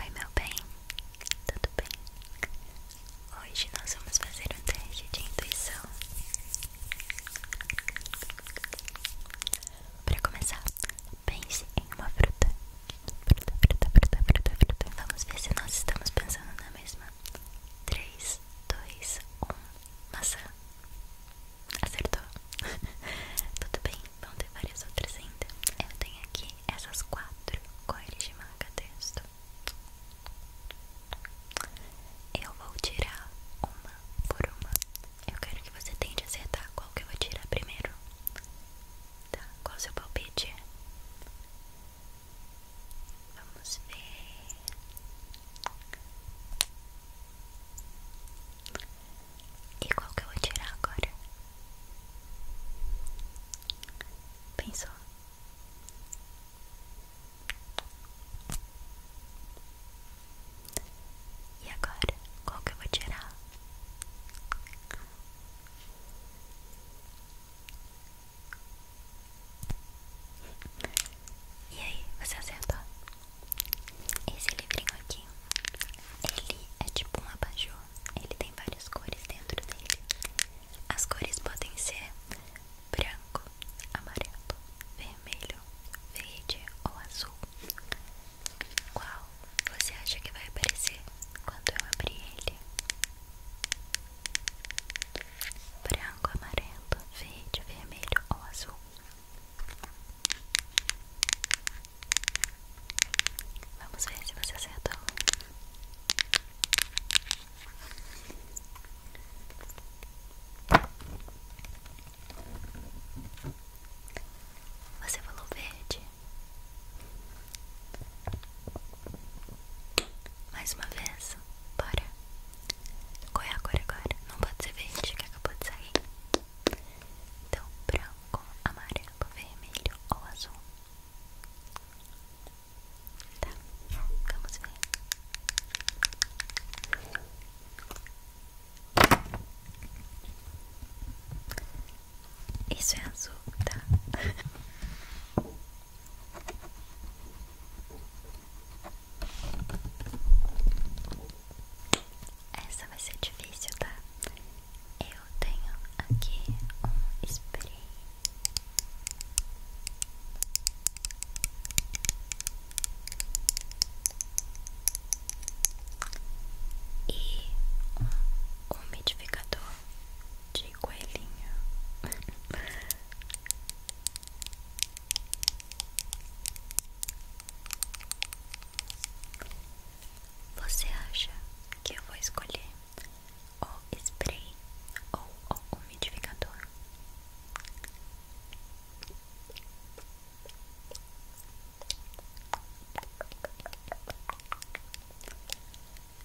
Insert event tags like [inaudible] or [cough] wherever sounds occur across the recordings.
Oi, meu bem, tudo bem? Hoje nós vamos fazer um teste de intuição. Para começar, pense em uma fruta. Fruta, fruta, fruta, fruta, fruta. Vamos ver se nós estamos pensando na mesma. 3, 2, 1. Maçã. Acertou. [laughs] Tudo bem, vão ter várias outras ainda. Eu tenho aqui essas quatro cores de manga texto. Eu vou tirar uma por uma. Eu quero que você tente acertar qual que eu vou tirar primeiro. Tá, qual o seu palpite? Vamos ver. E qual que eu vou tirar agora? Pensou? E agora? Qual que eu vou tirar? E aí, você acertou? Esse livrinho aqui, ele é tipo um abajur, ele tem várias cores dentro dele. As cores podem ser branco, amarelo, vermelho, verde ou azul. Qual você acha que vai aparecer quando eu abrir ele? Branco, amarelo, verde, vermelho ou azul? Vamos ver se você acertou. Você falou verde. Mais uma vez, bora. Qual é a cor agora? Não pode ser verde que acabou de sair Então branco, amarelo, vermelho ou azul Tá, vamos ver isso é azul, tá? [laughs] Essa vai ser difícil, tá? Eu tenho aqui um spray. E um umidificador de coelhinho [laughs] Você acha que eu vou escolher o spray ou o umidificador?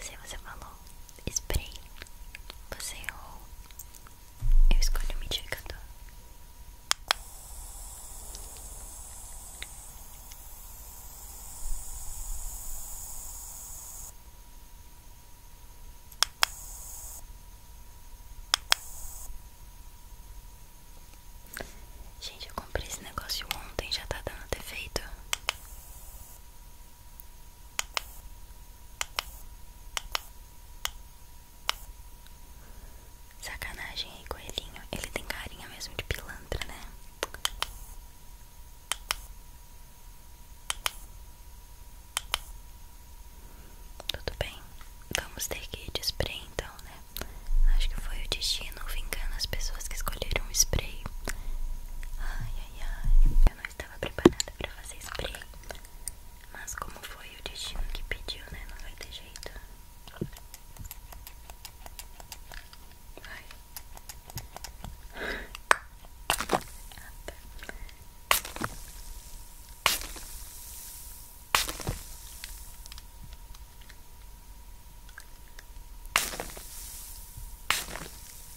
Se você falou spray, você errou eu escolho o modificador. Gente, eu comprei esse negócio ontem, já tá dando defeito. Sacanagem aí, coelhinho. Ele tem carinha mesmo de pilantra, né? Tudo bem, vamos ter que ir de spray então, né? Acho que foi o destino vingando as pessoas que escolheram o spray. Ai, ai, ai, eu não estava preparada para fazer spray. Mas como foi o destino que pediu, né? Não vai ter jeito. Vai.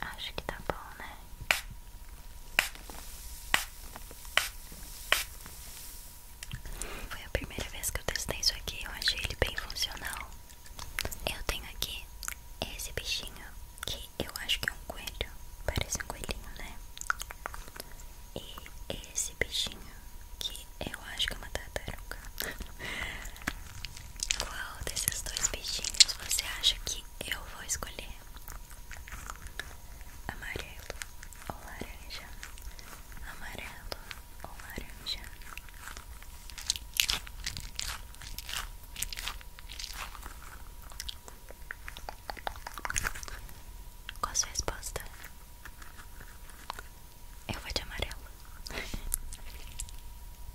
Acho que tá bom, né? Foi a primeira vez que eu testei isso aqui. Eu achei ele bem funcional. Eu tenho aqui esse bichinho que eu acho que é um coelho. Parece um coelhinho, né? E esse bichinho que eu acho que é uma tartaruga. [laughs] Qual desses dois bichinhos você acha que eu vou escolher? É. amarelo ou laranja, amarelo ou laranja. Qual sua resposta? Eu vou de amarelo. [laughs]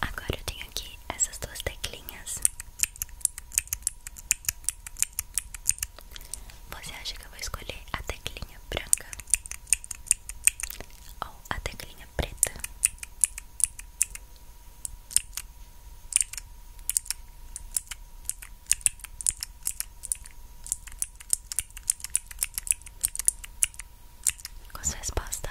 Agora eu tenho aqui essas duas teclinhas você acha que eu vou escolher a teclinha branca ou a teclinha preta? Qual a sua resposta?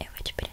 Eu vou de preto.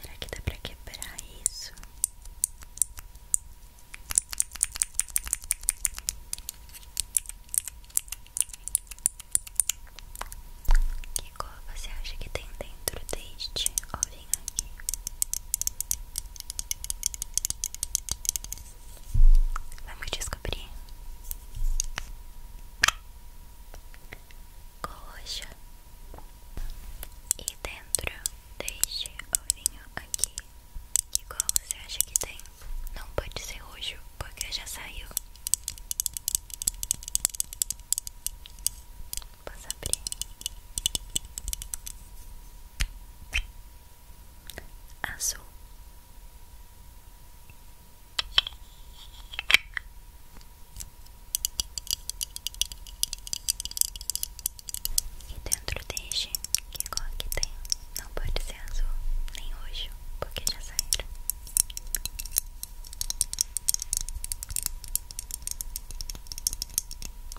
Será que dá pra quebrar isso? Que cor você acha que tem dentro deste ovinho aqui? Vamos descobrir coxa e dentro deixe o vinho aqui que qual você acha que tem? Não pode ser roxo porque já saiu. Posso abrir? Azul. E dentro deste, que é agora que tem, não pode ser azul, nem roxo, porque já saíram.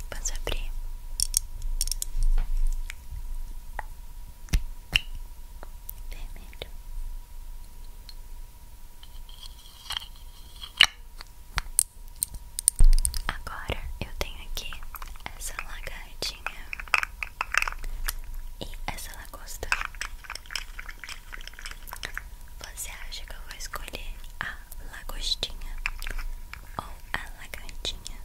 Posso abrir? vermelho. Agora eu tenho aqui essa lagartinha e essa lagosta. Você acha que eu vou escolher a lagostinha ou a lagartinha?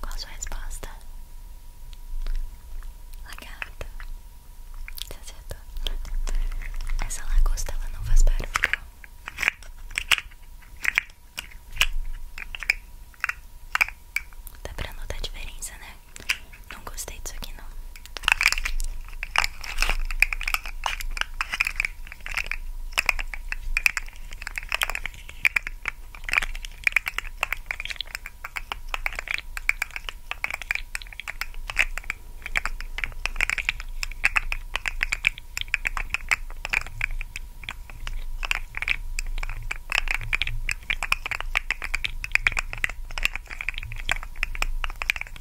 Qual a sua resposta? Lagarta. Você acertou. Essa lagosta ela não faz barulho. Tá pra notar a diferença, né? Não gostei disso aqui não.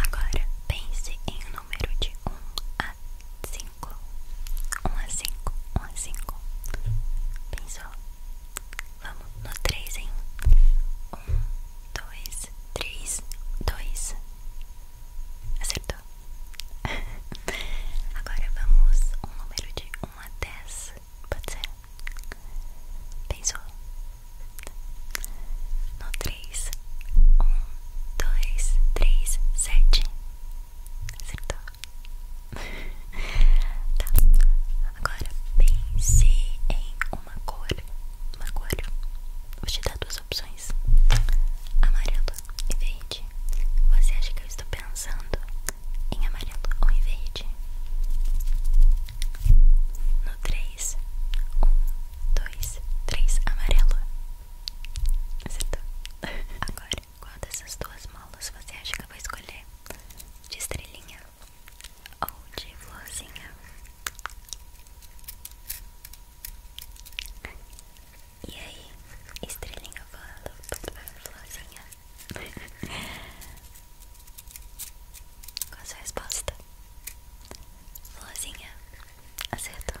Agora pense em um número de um a cinco. Um a cinco, um a cinco só. Vamos no três em um dois três dois Acertou. [laughs] Agora vamos um número de um a dez Pode ser? Pensou? No três um dois três sete Acertou. [laughs] tá. Agora pense em uma cor. Uma cor. Vou te dar duas opções: amarelo e verde. Você acha que eu estou pensando em amarelo ou em verde? No 3, 1, 2, 3, amarelo. Acertou. [laughs] Agora agora, qual dessas duas molas você acha que eu vou escolher? De estrelinha ou de florzinha? E aí, estrelinha ou florzinha? [laughs] Qual a sua resposta? Florzinha, acertou.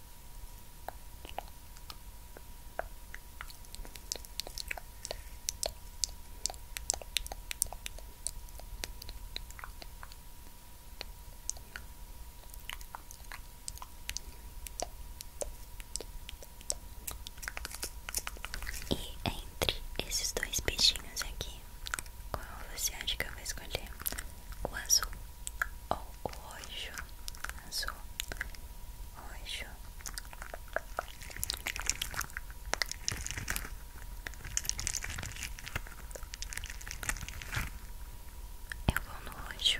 E entre esses dois peixinhos aqui, qual você acha que eu vou escolher? O azul ou o roxo azul, roxo eu vou no roxo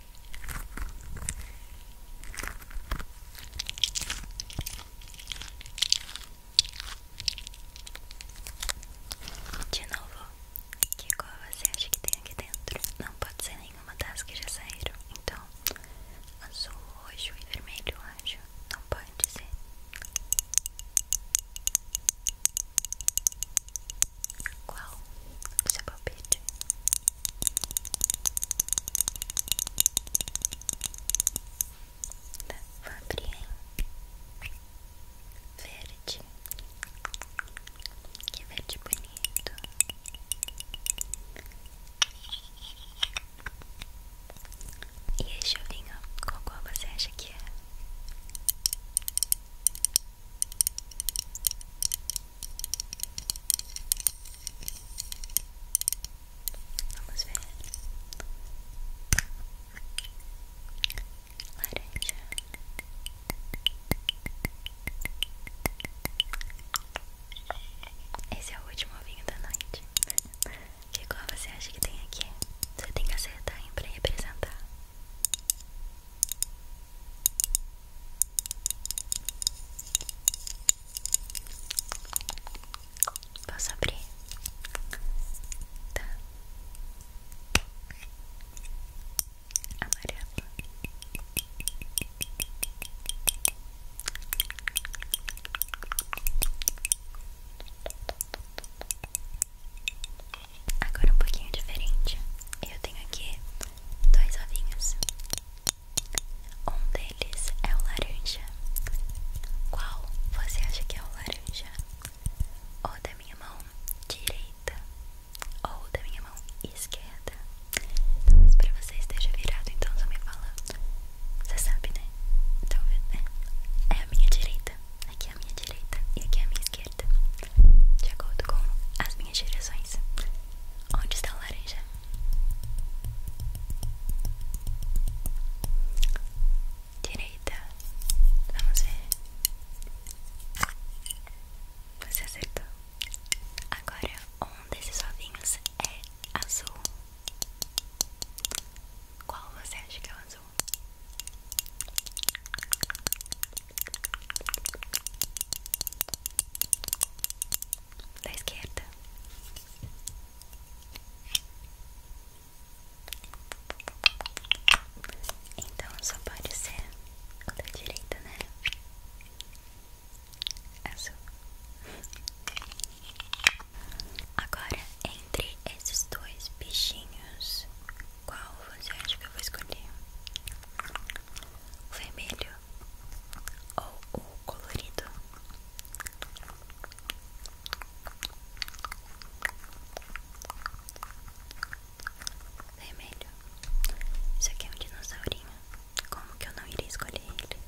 De novo, que cor você acha que tem aqui dentro? Não pode ser nenhuma das que já saíram. Então, azul, roxo e vermelho, acho. Não pode ser. Qual o seu palpite? da Fabrien verde, que é verde bonito. E esse chovinho, qual, qual você acha que é? Vamos ver laranja. Esse é o último vinho da noite. Que cor você acha que tem aqui? Você tem que acertar em pra representar. Posso abrir? Tá. Amarelo. Agora um pouquinho diferente. Eu tenho aqui dois ovinhos. Um deles é o laranja. Qual você acha que é o laranja? Ou da minha mão direita ou da minha mão esquerda? Talvez para você esteja virado, então só me fala. Você sabe, né? Talvez, né? É a minha direita. Aqui é a minha direita e aqui é a minha esquerda de acordo com as minhas direções. Onde está o laranja? Direita. Vamos ver. Você acertou. Agora, um desses ovinhos é azul. Qual você acha que é o azul? da esquerda. Então só pode ser da direita, né? Azul. Agora, entre esses dois bichinhos, qual você acha que eu vou escolher? vermelho ou o colorido. Vermelho. Isso aqui é um dinossaurinho. Como que eu não iria escolher ele? [laughs]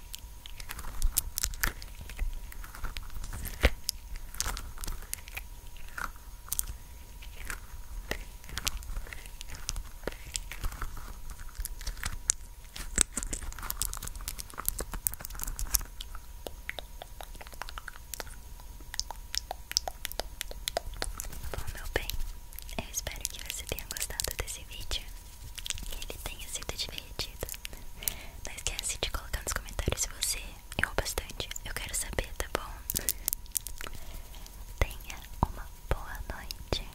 Bom, meu bem, eu espero que você tenha gostado desse vídeo ele tenha sido divertido. Não esquece de colocar nos comentários se você errou bastante. Eu quero saber, tá bom? Tenha uma boa noite,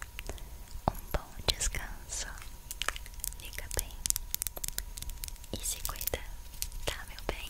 um bom descanso, fica bem e se cuida, tá, meu bem?